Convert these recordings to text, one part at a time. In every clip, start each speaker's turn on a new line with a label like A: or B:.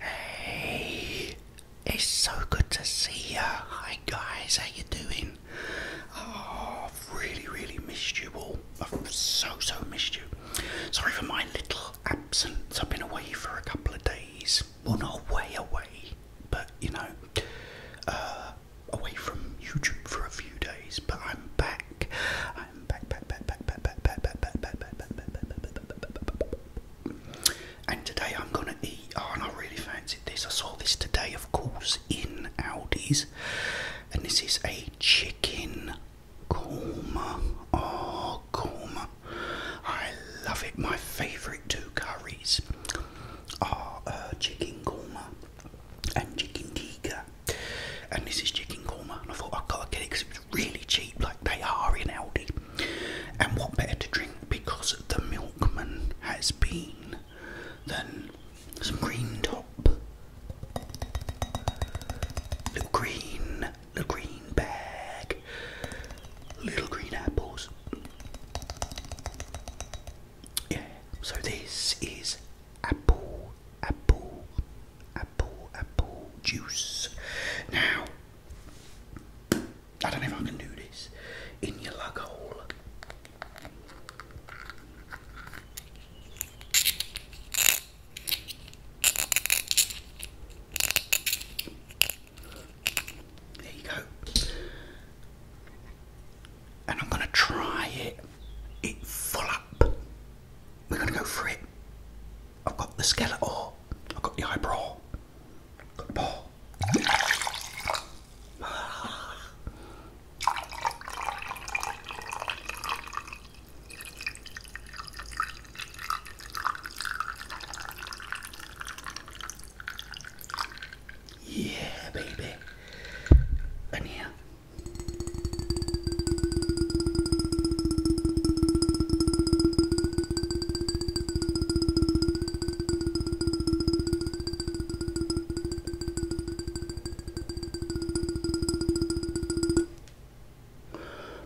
A: Hey, it's so good to see ya. Hi guys, how you doing? Oh, I've really, really missed you all. I've so, so missed you. Sorry for my little absence. I've been away for a couple of days. Well, not way away, but you know, uh, away from YouTube for a few days. But I'm back and today I'm gonna eat. Oh, and I really fancied this. I saw this today, of course, in Aldi's, and this is a chicken korma. Oh, korma! I love it. My favourite two curries are uh, chicken korma and chicken tikka and this is chicken korma. And I thought I've got to get it because it was really cheap, like they are in Aldi. And what better to drink because the milkman has been than some green top, little green, little green bag, little green apples. Yeah, so this is apple, apple, apple, apple juice. Now, I don't know if I can do this in your lug hole. There you go. And I'm going to try it, it full up we're going to go for it. I've got the skeleton. I've got the eyebrow. Yeah, baby. And here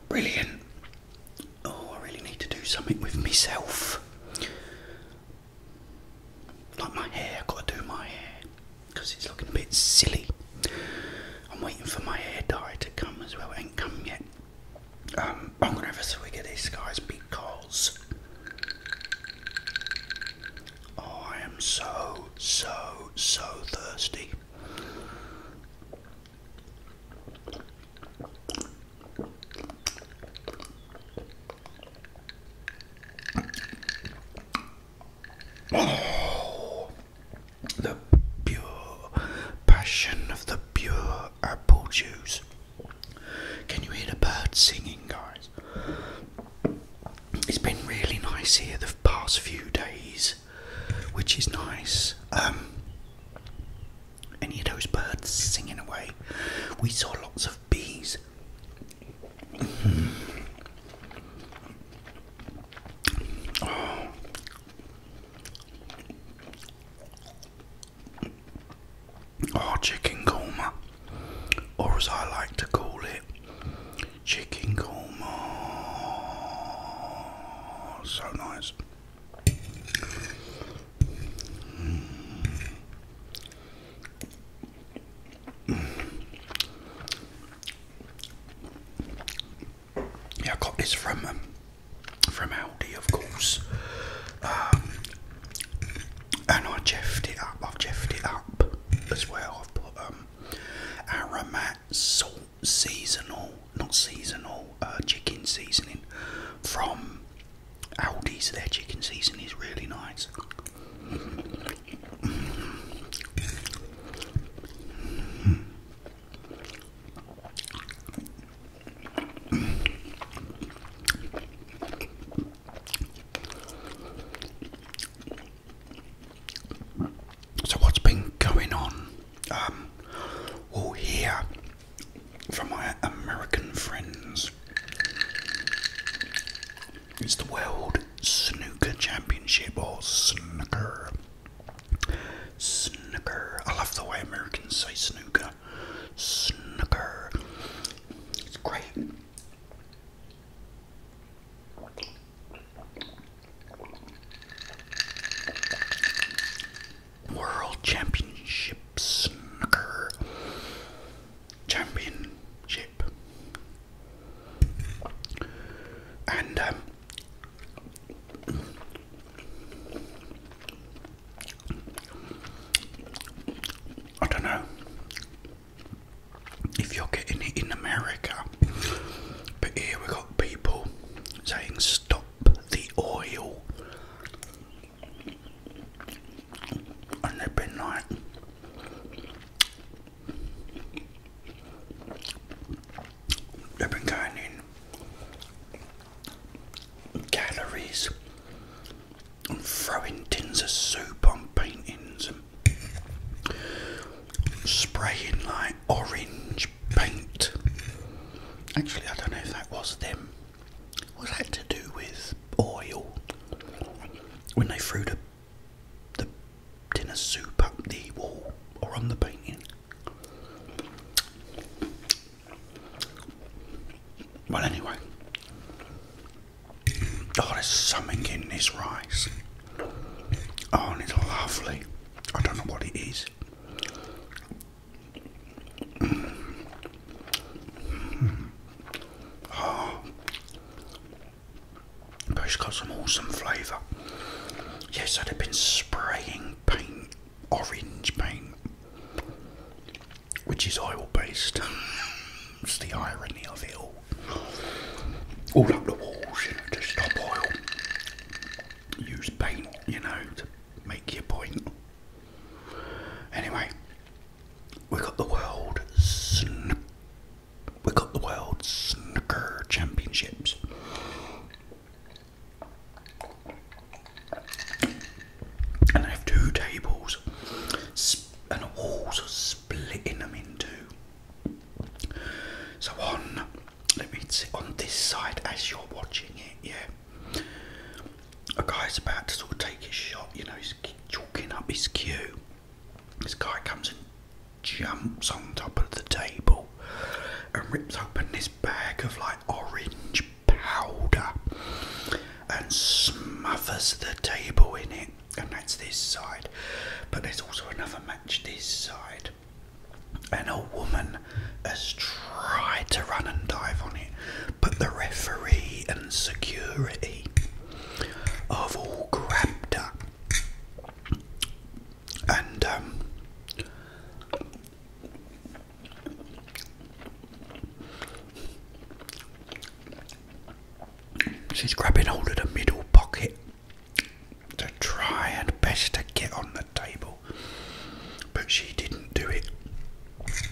A: Brilliant. Oh, I really need to do something with myself. Like my hair, got to do my hair because it's looking a bit silly. I'm waiting for my hair dye to come as well. It ain't come yet. Um, I'm gonna have a swig of this, guys, because I am so, so, so thirsty. Oh the pure passion of the pure apple juice. Can you hear the birds singing, guys? It's been really nice here the past few days, which is nice. Um, any of those birds singing away? We saw lots of bees. Oh. oh, chicken korma, or as I like to call it, chicken korma. So nice. Mm. Mm. Yeah, I got this from um, from Aldi, of course, um, and I jeffed it up. I've jeffed it up as well. I've put um, Aramat salt seasonal, not seasonal, uh, chicken seasoning from Aldi's. Their chicken seasoning is really nice. So what's been going on? all um, here from my American friends. It's the World Snooker Championship or Snooker Snooker. I love the way Americans say snooker. Snooker. It's great. World Championship Snooker. Championship. And um, I don't know if you're getting it in America, but here we got people saying stop the oil, and they've been like, I've been counting calories and throwing tins of soup on paintings and spraying like orange paint. Actually, I don't know if that was them. What had to do with oil? When they threw the the tin of soup up the wall or on the painting. Well, anyway, oh, there's something in this rice. Oh, and it's lovely. I don't know what it is. Mm but it's got some awesome flavour. Yes, I'd have been spraying paint, orange paint, which is oil based. it's the irony of it all. All up the walls, you know, to stop oil. Use paint, you know, to make your point. Anyway, we got the world we got the world snooker championships and I have two tables and the walls are splitting them in two. So on, let me sit on this side as you're watching it, yeah. A guy is about to sort of take his shot, you know, he's chalking up his cue. This guy comes and jumps on top of the table and rips open this bag of like orange powder and smothers the table in it. And that's this side, but there's also another match this side. And a woman has tried to run and dive on it, but the referee and security have all grabbed her and um, she's grabbing hold of the middle pocket to try and best to get on the table, but she didn't do it.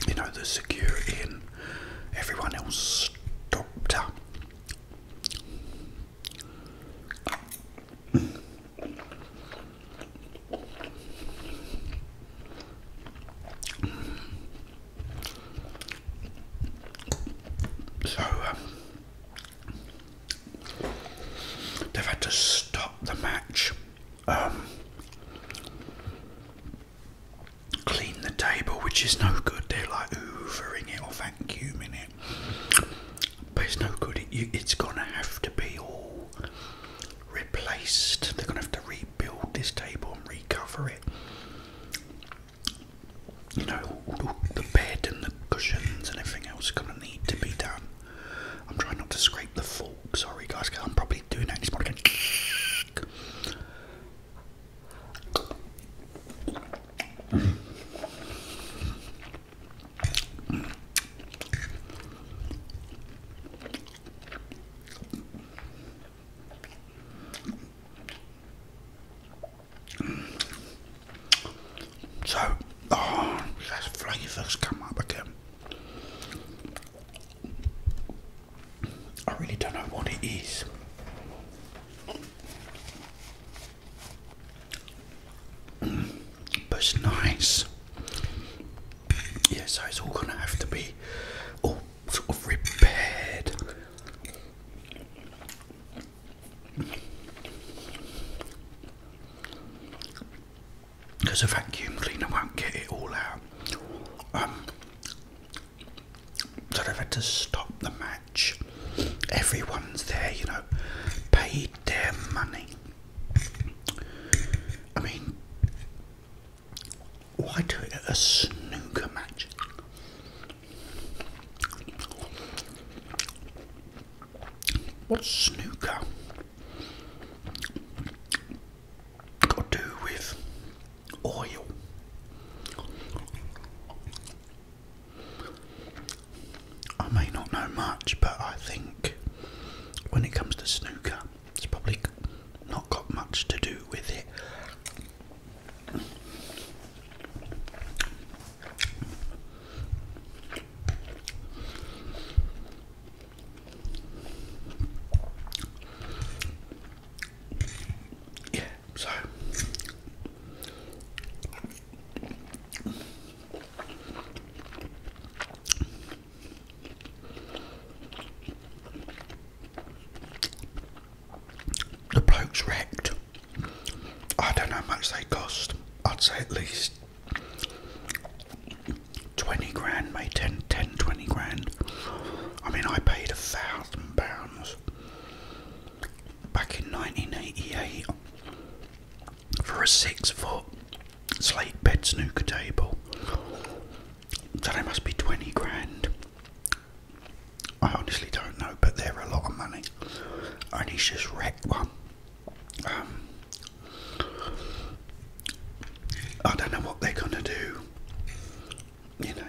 A: You know, the security and everyone else stopped her. So um, they've had to stop the match, um, clean the table, which is no good. They're like hoovering it or vacuuming it. But it's no good. it's gonna have to be all replaced. They're gonna have to rebuild this table and recover it. You know, the bed and the cushions and everything else is gonna need to be done. I'm trying not to scrape the fork. Sorry, guys, I'm probably doing that. It's morning. So, oh, those flavours come up again. I really don't know what it is but nice. Yeah, so it's all gonna have to be all sort of repaired. Because a vacuum cleaner won't get it all out. Um, so they've had to stop the match. Everyone's there, you know, paid their money. I mean, why do it at a snooker match? What's snooker got to do with oil? I may not know much, but I think when it comes to snooker, it's probably not got much to do with it. Yeah, so the bloke's wrecked. I don't know how much they cost. I'd say at least 20 grand, Made 10, 20 grand. I mean, I paid a thousand pounds back in 1988 for a six foot slate bed snooker table. So they must be 20 grand. I honestly don't know, but they're a lot of money. And he's just wrecked one. Um, I don't know what they're going to do. You know.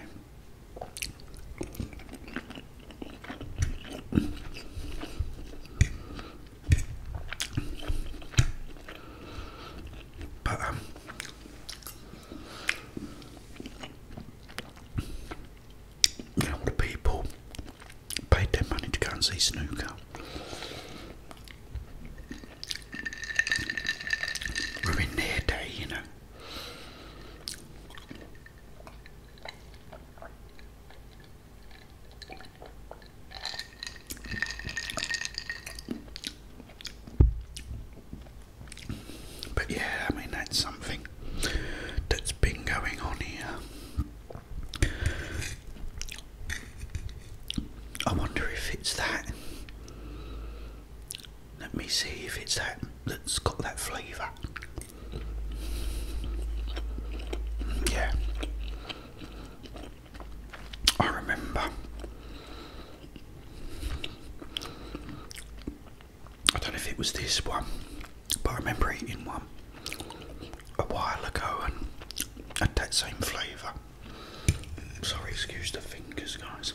A: But you know, all people paid their money to go and see snooker. Ruin their day, you know. But yeah, I mean, that's something that's been going on here. I wonder if it's that. Let me see if it's that that's got that flavour. Yeah. I remember. I don't know if it was this one, but I remember eating one a while ago and had that same flavour. Sorry, excuse the fingers, guys.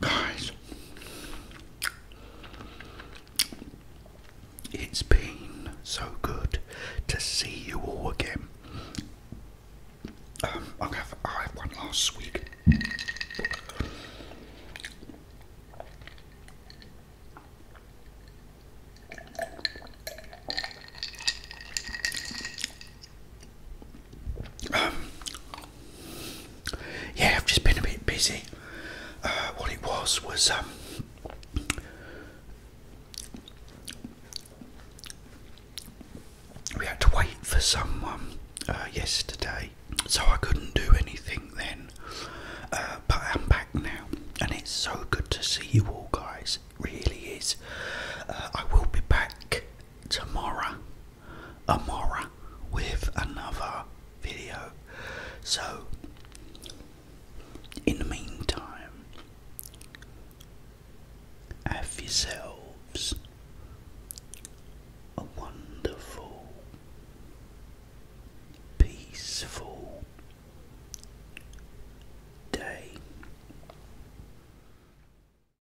A: Guys, it's been so good to see you all again. Um, I have one last week. Um, yeah, I've just been a bit busy. Uh, what it was was um, we had to wait for someone uh, yesterday, so I couldn't do anything then. Uh, but I'm back now, and it's so good to see you all, guys. really is. I will be back tomorrow Amora with another video. So, in the meantime, have yourselves a wonderful, peaceful day.